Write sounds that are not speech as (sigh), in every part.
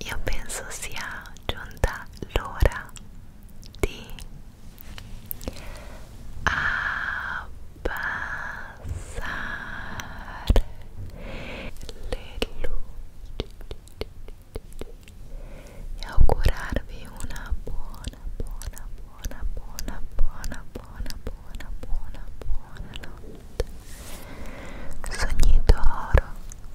io penso sia giunta l'ora di abbassare le luci e augurarvi una buona, buona, buona, buona, buona, buona, buona, buona, buona notte. Sogni d'oro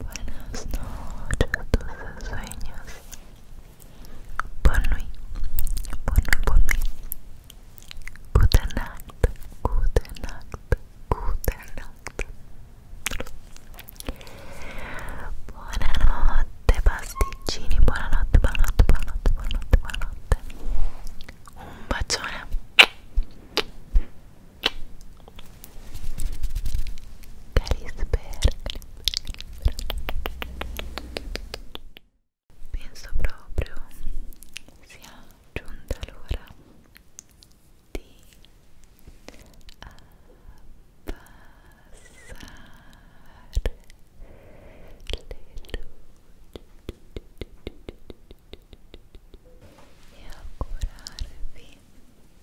Buenas noches, dulces sueños. Bonne nuit, bonne nuit, bonne nuit. Gute Nacht, gute Nacht, gute Buenas Buonanotte pasticcini, buonanotte, buonanotte, buonanotte, buonanotte, buonanotte. Un bacione. Carisper Penso proprio sia giunta l'ora di abbassare eh, le luci e augurarvi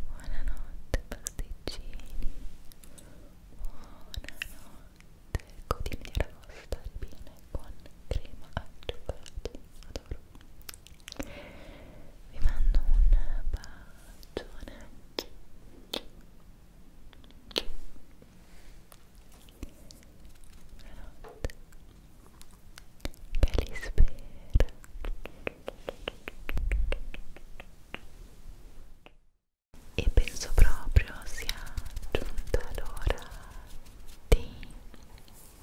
Buonanotte pasticcini Buonanotte Codini di ragosta ribine con crema al cioccolato Adoro Vi mando un bacione Buonanotte Calispera e penso proprio sia giunta l'ora di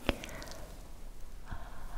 passare le luci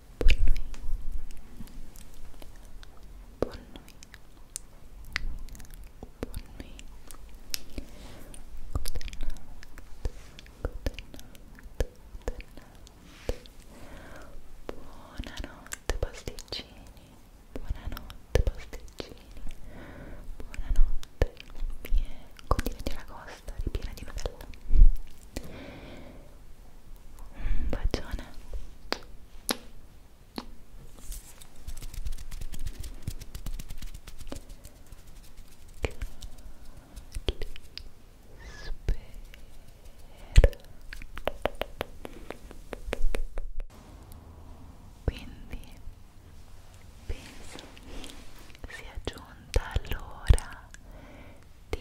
Bonne nuit. Bonne nuit. Bonne nuit. Good night. Good night. Buonanotte pasticcini. Buonanotte pasticcini. Buonanotte. Mie continenti alla costa ripiena di novella. Un bacione. Quindi penso sia giunta l'ora di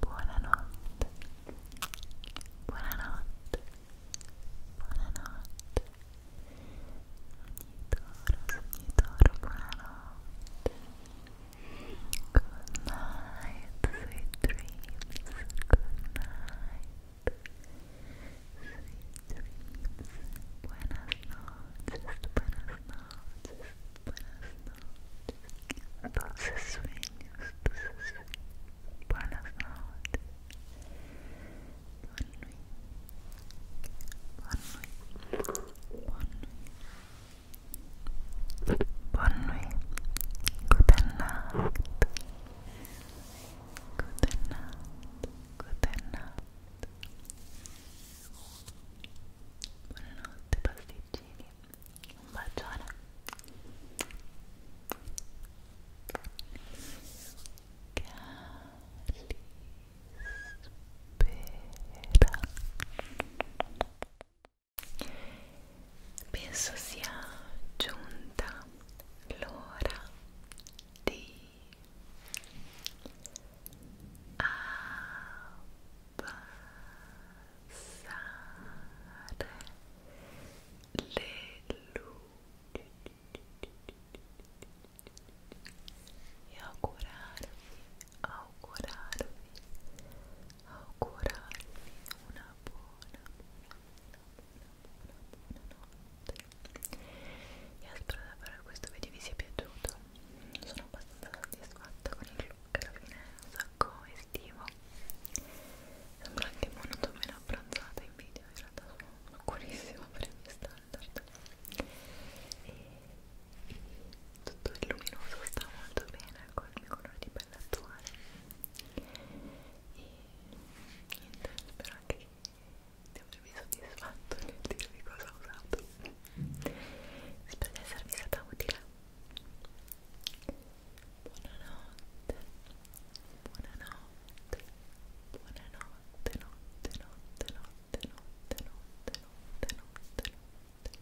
Buonanotte. Buonanotte. Buonanotte. Sognitoro, sognitoro, buonanotte. Good night, sweet dreams. Good night. Sweet dreams. Buenas noches, buenas noches, dulces sueños, dulces sueños. Buenas noches. Buenas noches. Buenas noches. Buenas noches. Good night. Good Buonanotte pasticcini. Un bacione. Calispera. Penso sia giunta l'ora di abbassare le luci e augurarvi, augurarvi, augurarvi una buona, buona, buona, buona, buona notte. Io spero davvero che questo video vi sia piaciuto sono abbastanza soddisfatta con il look alla fine è un sacco estivo sembra anche molto meno abbronzata in video in realtà sono curissima per i miei standard e tutto il luminoso sta molto bene con il mio colore di pelle attuale e niente spero anche che di avervi soddisfatto nel dirvi cosa ho usato Spero di esservi stata utile. Buonanotte, buonanotte, buonanotte, notte, notte, notte, notte, notte, notte, notte, notte.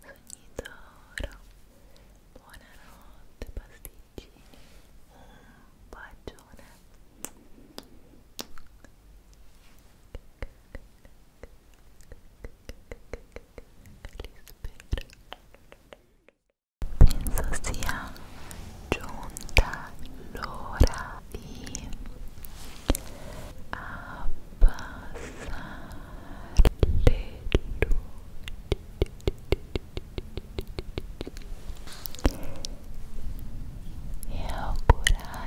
Sogni d'oro, buonanotte, pasticcini, un bacione. Penso sia giunta l'ora di abbassare le luci e augurarvi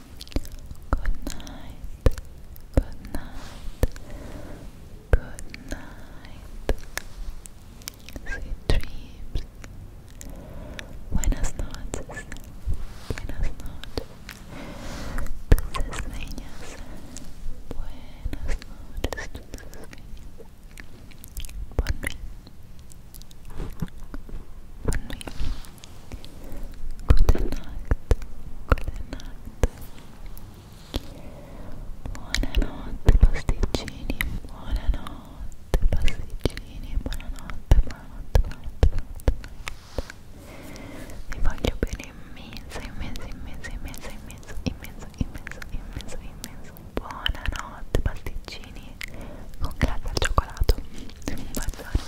Good night. Good night. Good night. Sweet dreams. Buenas noches. Buenas noches. Dulces niñas. Buenas noches. Dulces niñas. Good night, good night. Buonanotte pasticcini, buonanotte pasticcini, buonanotte, buonanotte, buonanotte, buonanotte. Vi voglio bene immenso, immenso, immenso, immenso, immenso, immenso, immenso, immenso, immenso. Buonanotte pasticcini con grazie al cioccolato. Un bacione.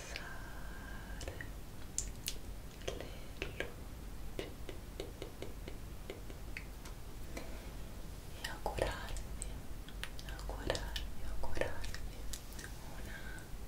abbassare le luci e augurarvi, augurarvi, augurarvi una una, una notte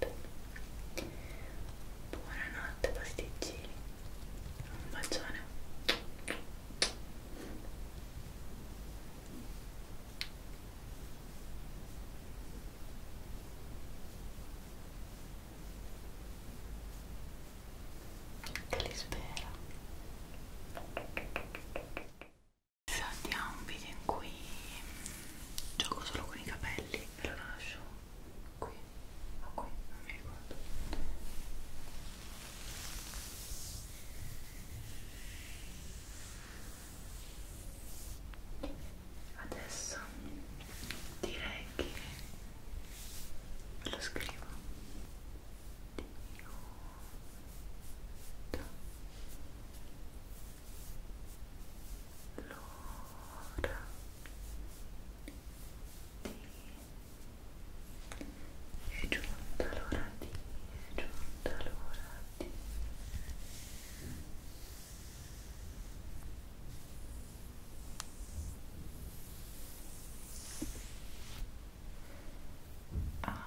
tu. Buonanotte pasticcini. Un bacione. Che li spera. Adesso andiamo a un video in cui gioco solo con i capelli e lo lascio qui o qui, non mi ricordo adesso direi che lo scrivo lo è giunta l'ora di, è giunta l'ora di Ah.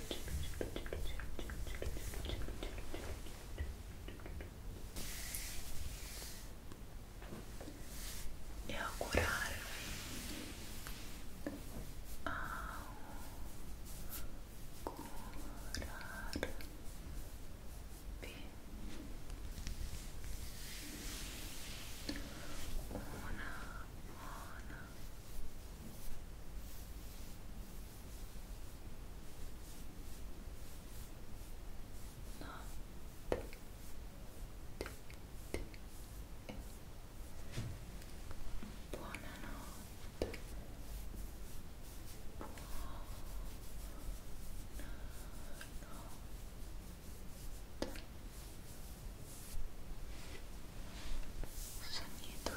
e augurarvi augurarvi una buona notte di, di. buonanotte buonanotte sogni dolci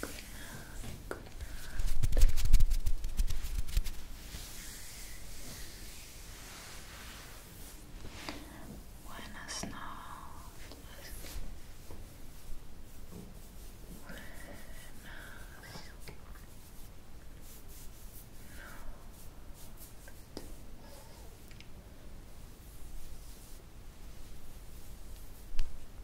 Good night. Good night. Buenas noches. Buenas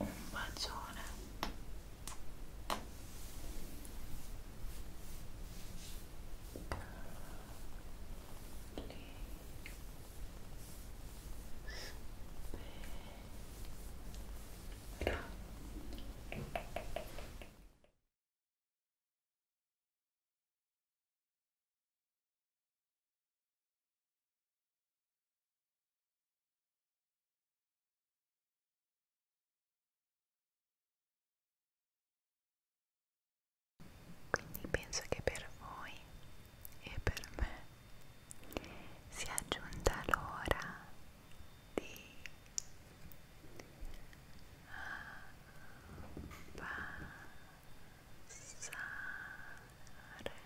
un bacione Lì. Spera. Quindi penso che per voi e per me sia giunta l'ora di ah, passare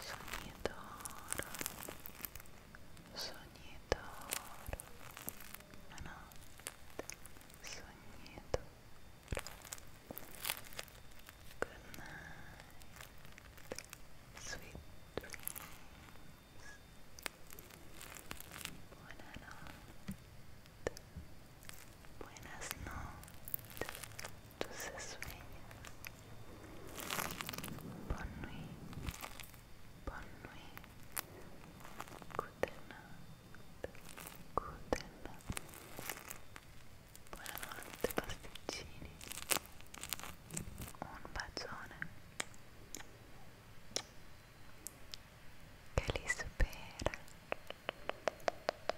Sognatoro, sognatoro, buonanotte, sognatoro, good night, sweet dreams, buonanotte, buenas noches se sueña. Bonne nuit, bonne nuit. Good Buonanotte pasticcini. Un bacione. Che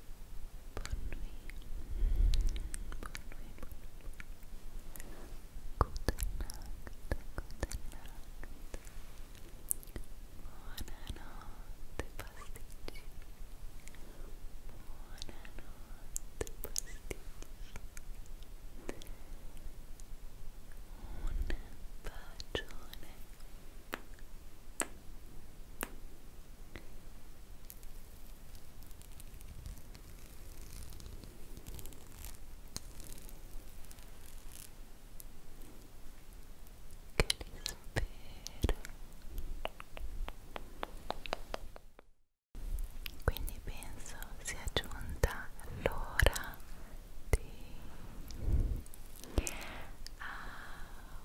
Bonne nuit. Bonne nuit, bonne nuit. Gute Nacht, gute Nacht. Buonanotte pasticci. Buonanotte pasticci. Un bacione. quindi penso sia giunta l'ora di ah,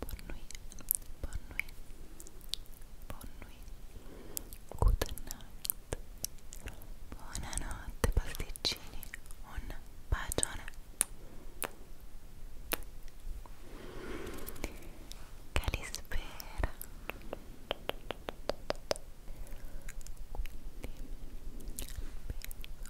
bonne nuit, bonne nuit, bonne nuit, good night, buonanotte pasticcini, un bacione Calispera quindi penso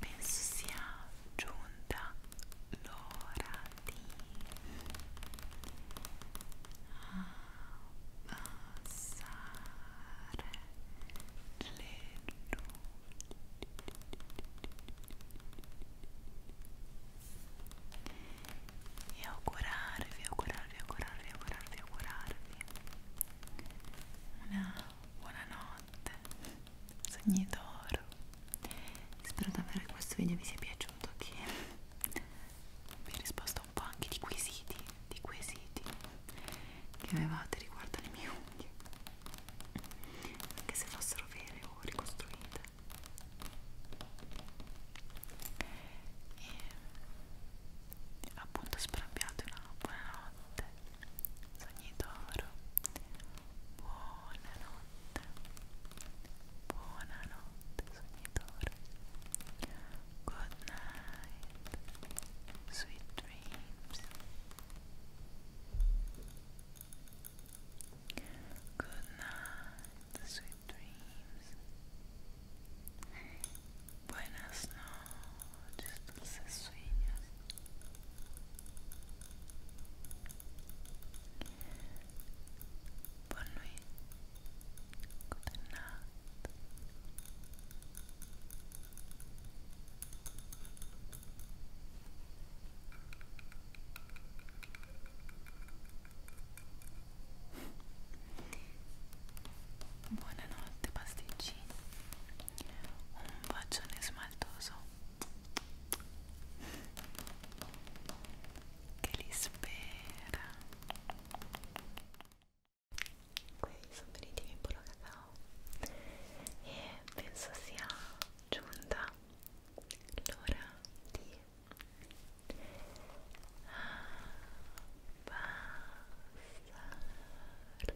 penso sia giunta l'ora di abbassare le luci e augurarvi, augurarvi, augurarvi, augurarvi, augurarvi una buonanotte, sogni d'oro. Spero davvero che questo video vi sia piaciuto, che vi ho risposto un po' anche di quesiti, di quesiti che avevate riguardo alle mie unghie, anche se fossero vere o ricostruite. E appunto spero abbiate una buona notte sogni d'oro buonanotte buonanotte sogni d'oro good night sweet dreams good night sweet dreams buenas noches todos os seus sonhos. Boa noite. Good Buonanotte pasticcini un bacione smaltoso che li spera qui sono finiti i miei polo cacao e penso sia giunta l'ora di ah, passare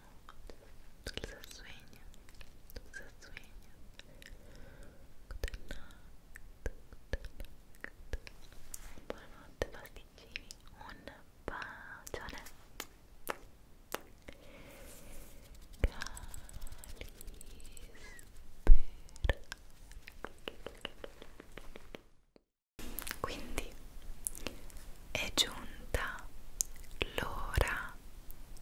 dulce sueño, dulce sueño. Good night, good night. Buonanotte pasticcini, un bacione. Calispera. Quindi è giunta l'ora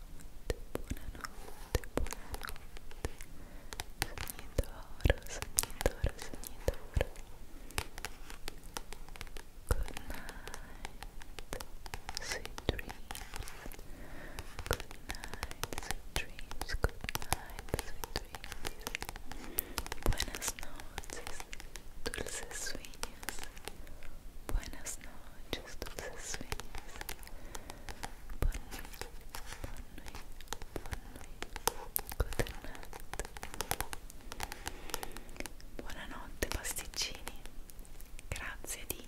good night, sweet dreams good night, sweet dreams, good night, sweet dreams buenas noches, dulces sueños Buenas noches, dulces sueños. Buonanotte pasticcini, grazie di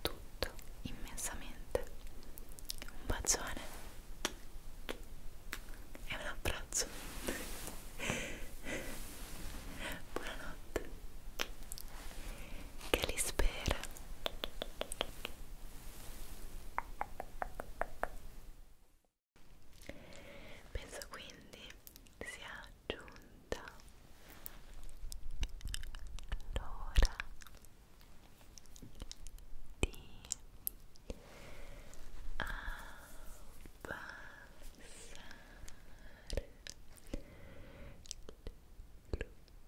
tutto immensamente. Un bacione e un abbraccio. (laughs) Buonanotte che li spera. Penso quindi sia giunta l'ora di abbassare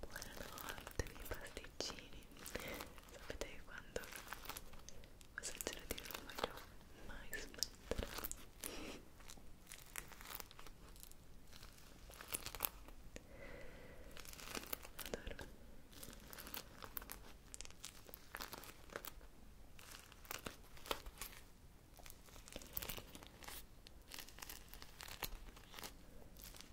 Buonanotte, miei pasticcini. Sapete che quando ho sentito non voglio mai smettere. Adoro. Buonanotte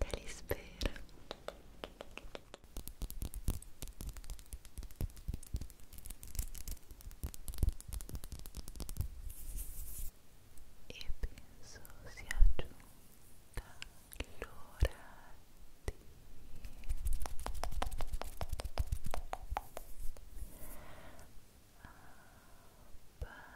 Calispera e penso sia giunta l'ora di abbassare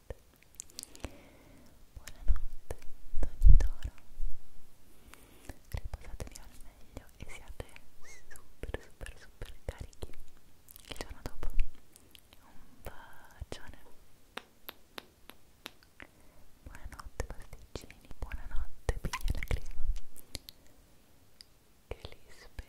Buonanotte, ogni toro. Riposatevi al meglio e siate super, super, super carichi il giorno dopo. Un bacione. Buonanotte pasticcini, buonanotte piglia che li spera.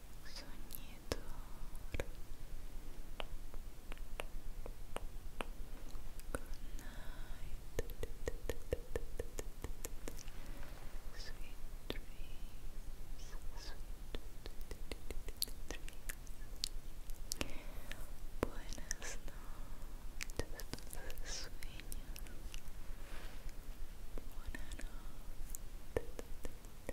sognatore good sweet dreams sweet dreams buenas noches sueños buenas buenas noches,